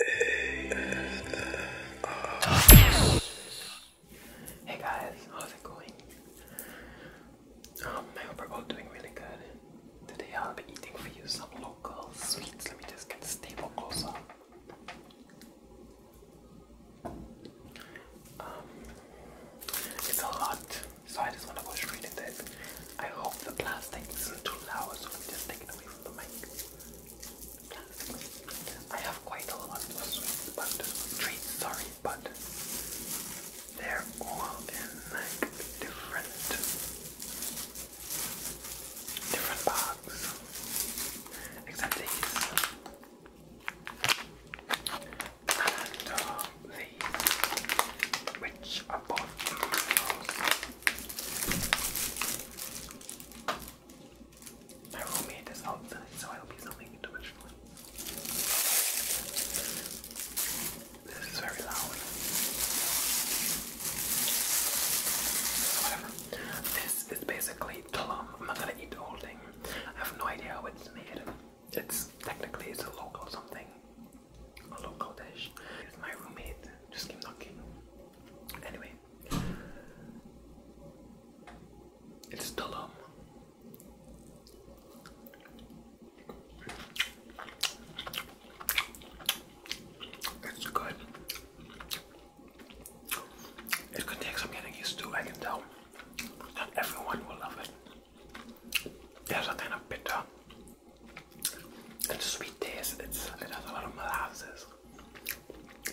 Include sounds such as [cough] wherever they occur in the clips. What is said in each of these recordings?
Hey guys, how's it going? Um, I hope we're all doing really good. Today I'll be eating for you some local sweets. Let me just get the table closer. Um, it's a lot, so I just want to go straight into it. I hope the plastic isn't too loud, so let me just take it away from the mic. I have quite a lot of sweets, but treats, sorry, but they're all in like different different bags. Except these. And uh, these, which are both mm, my roommate is out so I hope he's not making This is very loud. Whatever. This is basically Tulum. I'm not gonna eat the whole thing. I have no idea how it's made. It's technically it's a local something. A local dish. It's my roommate. Just keep knocking. Anyway, it's Tulum. It's good. It could take some getting used to, I can tell. Not everyone will love it. There's a kind of bitter it's sweet taste. It's, it has a lot of molasses,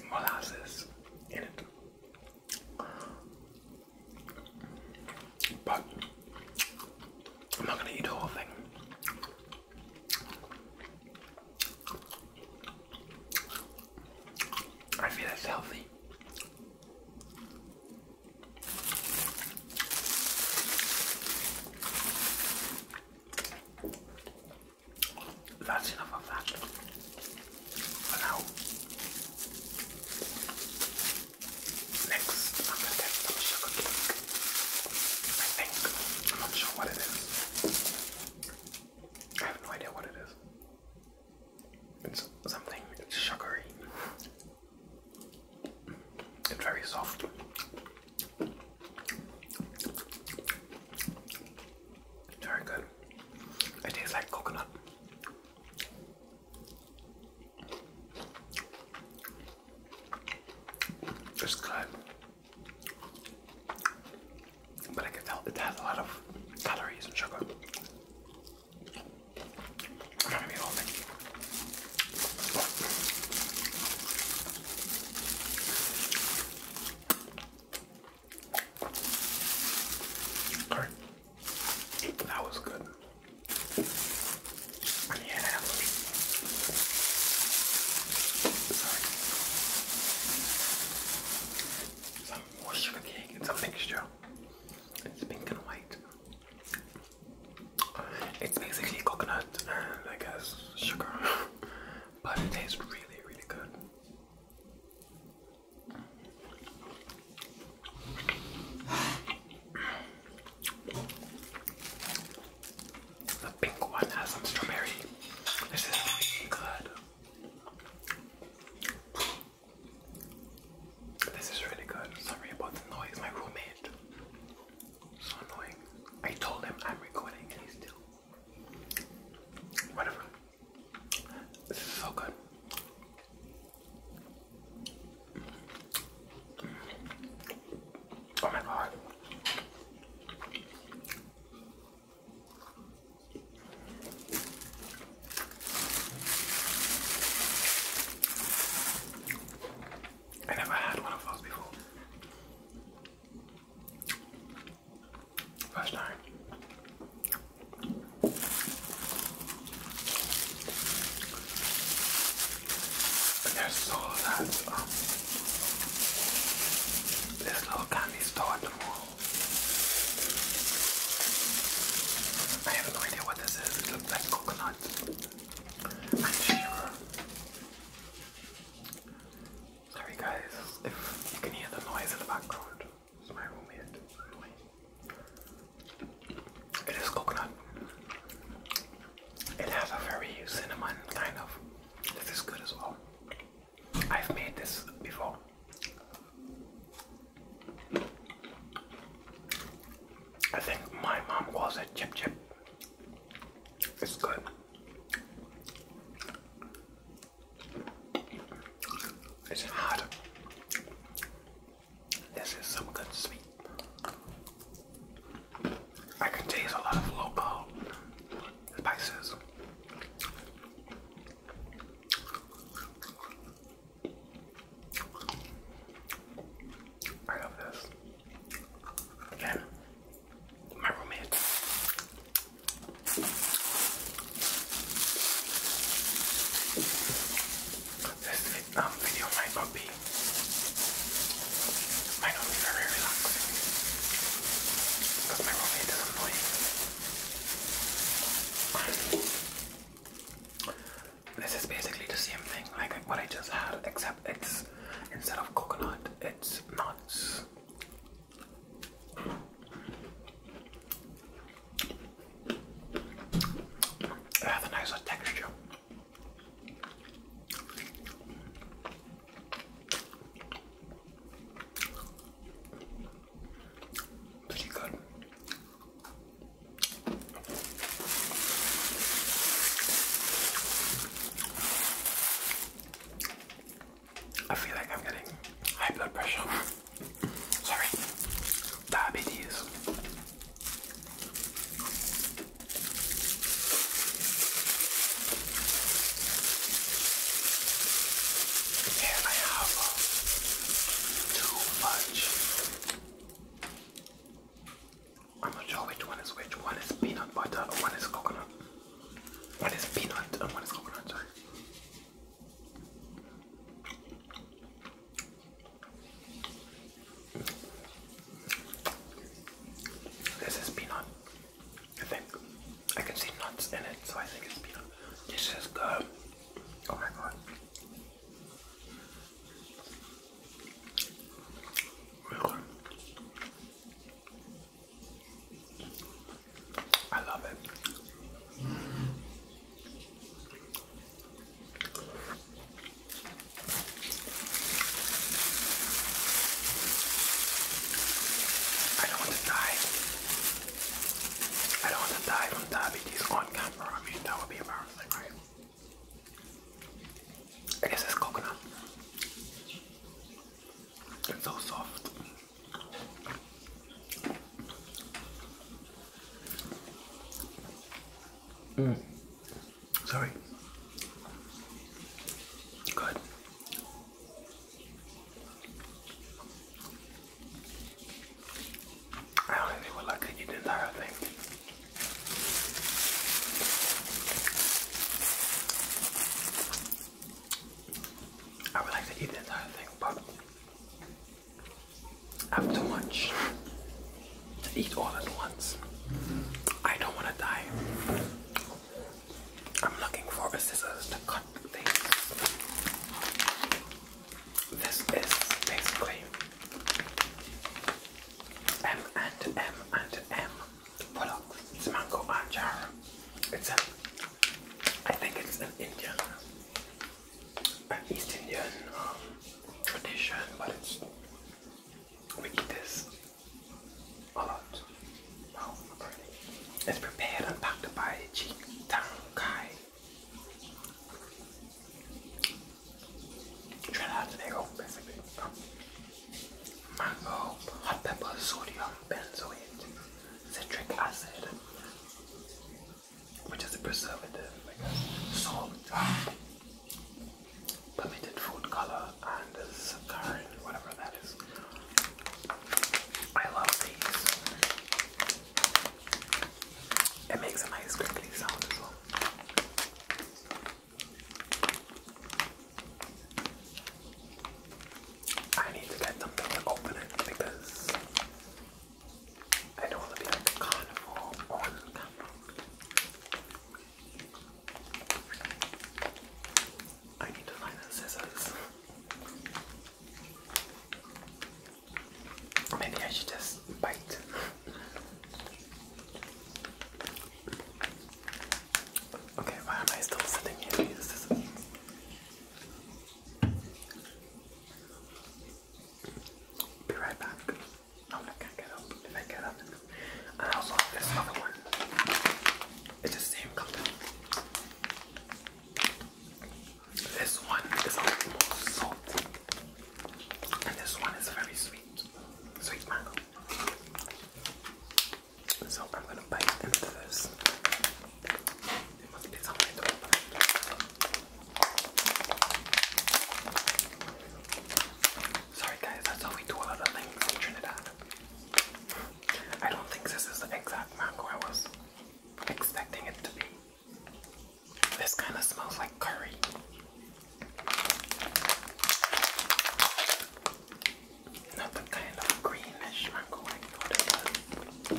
molasses in it. But I'm not gonna eat the whole thing. I feel it's healthy. That's enough of that for now. Next, I'm gonna get some sugar cake. I think. I'm not sure what it is. I have no idea what it is. It's something, it's sugary. It's very soft very good. It tastes like coconut. It's good. But I can tell it has a lot of calories and sugar. That was good. Yeah. Sorry. Some more sugar cake and some mixture. It's pink and white. It's basically coconut and I guess sugar, [laughs] but it tastes really, really good. The pink one has some strawberry. This is really good. This is really good. Sorry about the noise, my roommate so annoying. I told him I'm recording and he's still. Whatever. This is so good. Oh my god. I never had one of those before. First time. But there's that um this little candy store I have no idea what this is. It looks like coconut. Sorry guys, if you can hear the noise in the background, my roommate. It is coconut. It has a very cinnamon kind of. This is good as well. I've made this before. I think my mom calls it chip chip. It's good. It's hot. This is some good sweet. I can taste a lot of local spices. I love this and my roommate. This um, video might not be might not be very relaxing because my roommate is annoying. This is basically the same thing like what I just had, except it's instead of coconut, it's nuts. It has nicer texture. Pretty good. I feel like I'm getting high blood pressure. [laughs] Sorry, diabetes. Here I have uh, too much I'm not sure which one is which. One is peanut butter, one is coconut. One is peanut and one is coconut, sorry. This is peanut. I think I can see nuts in it, so I think it's peanut. This is good. Oh my god. I love it. I don't want to die. I don't want to die from diabetes on camera. I mean, that would be embarrassing, right? I guess it's coconut. It's so soft. Mm. Sorry. Good. I don't think would like to eat the entire thing. I would like to eat the entire thing, but I have too much to eat all at once. I don't want to die. I'm looking for scissors to cut things. This is basically M and M and M products. It's mango and achar. It's a, I think it's an Indian, an East Indian um, tradition, but it's we eat this a lot. Wow, it's prepared and packed by Chi Tang guy. Trinidad Tobago, oh, basically. mango, hot pepper, sodium, benzoate, citric acid, which is a preservative, uh, salt, um, permitted food color, and saccharin, whatever that is. I love these. It makes a nice crinkly sound as well. I need to get something to open it because I don't want to be a carnivore I need to find the scissors. Maybe I should just bite. okay, why am I still sitting here? This is be right back. Oh, I can't get up. If I get up, and I also have this other one. It's the same color. This one is almost salty, and this one is very sweet. Sweet mango. So I'm gonna bite into this. Sorry guys, that's how we do a lot of in Trinidad. I don't think this is the exact mango I was expecting it to be. This kind of smells like curry. Not kind of greenish mango I thought it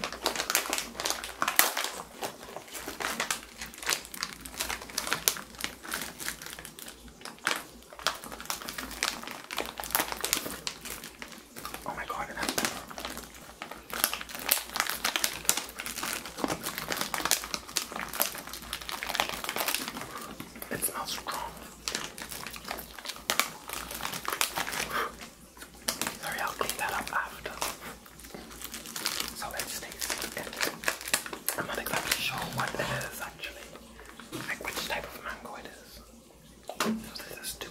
was. Oh my god, it smells strong. Sorry, I'll clean that up after. So it stays in. I'm not exactly sure what it is actually. Like which type of mango it is. So this is two.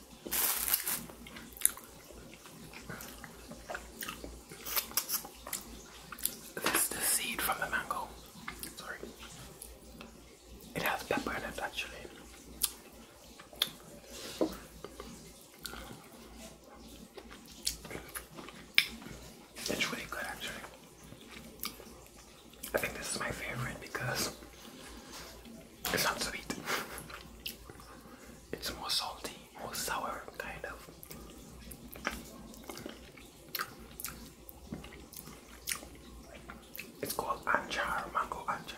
This is the seed from the mango. Sorry. It has pepper in it actually. It's really good actually. I think this is my favorite because it's not sweet. it's more salty, more sour, kind of. It's called anchar, mango anchar.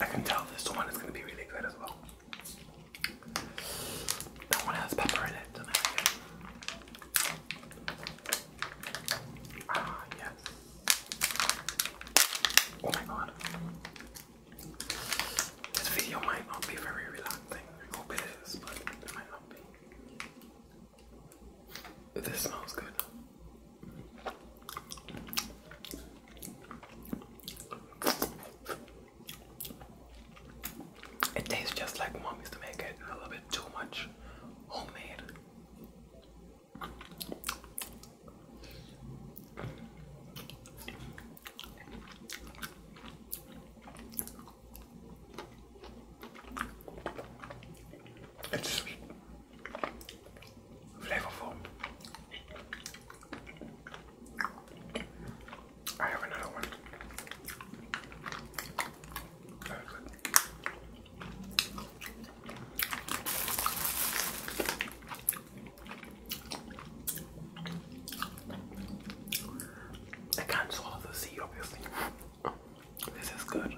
I can tell this one is going to be really good as well. That one has pepper in it, Ah, yes. Oh my god. This video might not be very relaxing. I hope it is, but it might not be. This smells good. It tastes just like mom used to make it, a little bit too much homemade. It's sweet, flavorful. I have another one. Very good. I can't swallow the sea, obviously. This is good.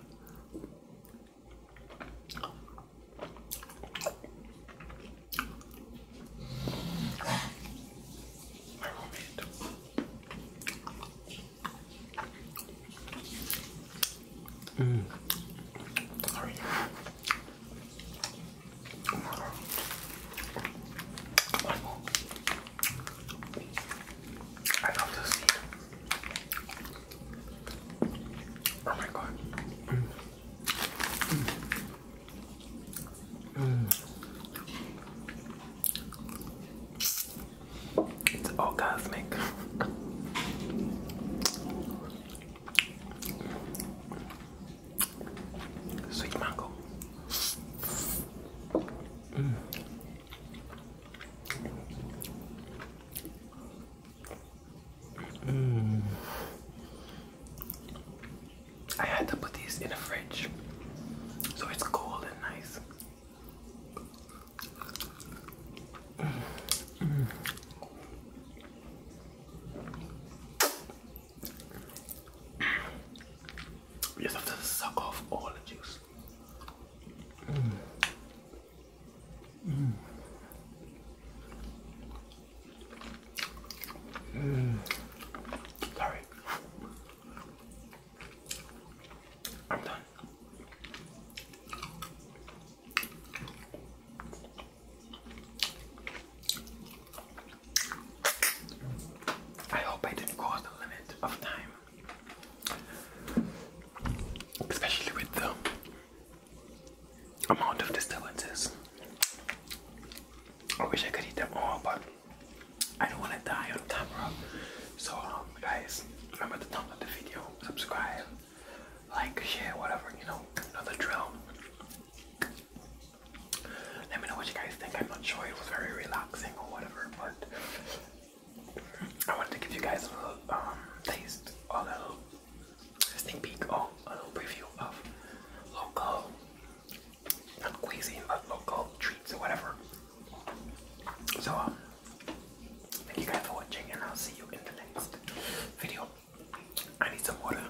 My mm. One more. I love this Oh my god. It's orgasmic. Sweet mango. Mm. I had to put these in the fridge so it's cold and nice. We just have to suck off all the juice. Mm. Sorry. I'm done. I hope I didn't cross the limit of time, especially with the amount of disturbances. I wish I could eat them all, but I don't want to die on camera. So, um, guys, remember to thumbs up the video, subscribe, like, share, whatever, you know, another drill. Let me know what you guys think. I'm not sure it was very relaxing or whatever, but I wanted to give you guys a little um, taste, a little sneak peek, or a little preview of local, not cuisine, local treats or whatever. So, um, thank you guys for watching, and I'll see you in the next video. I need some water.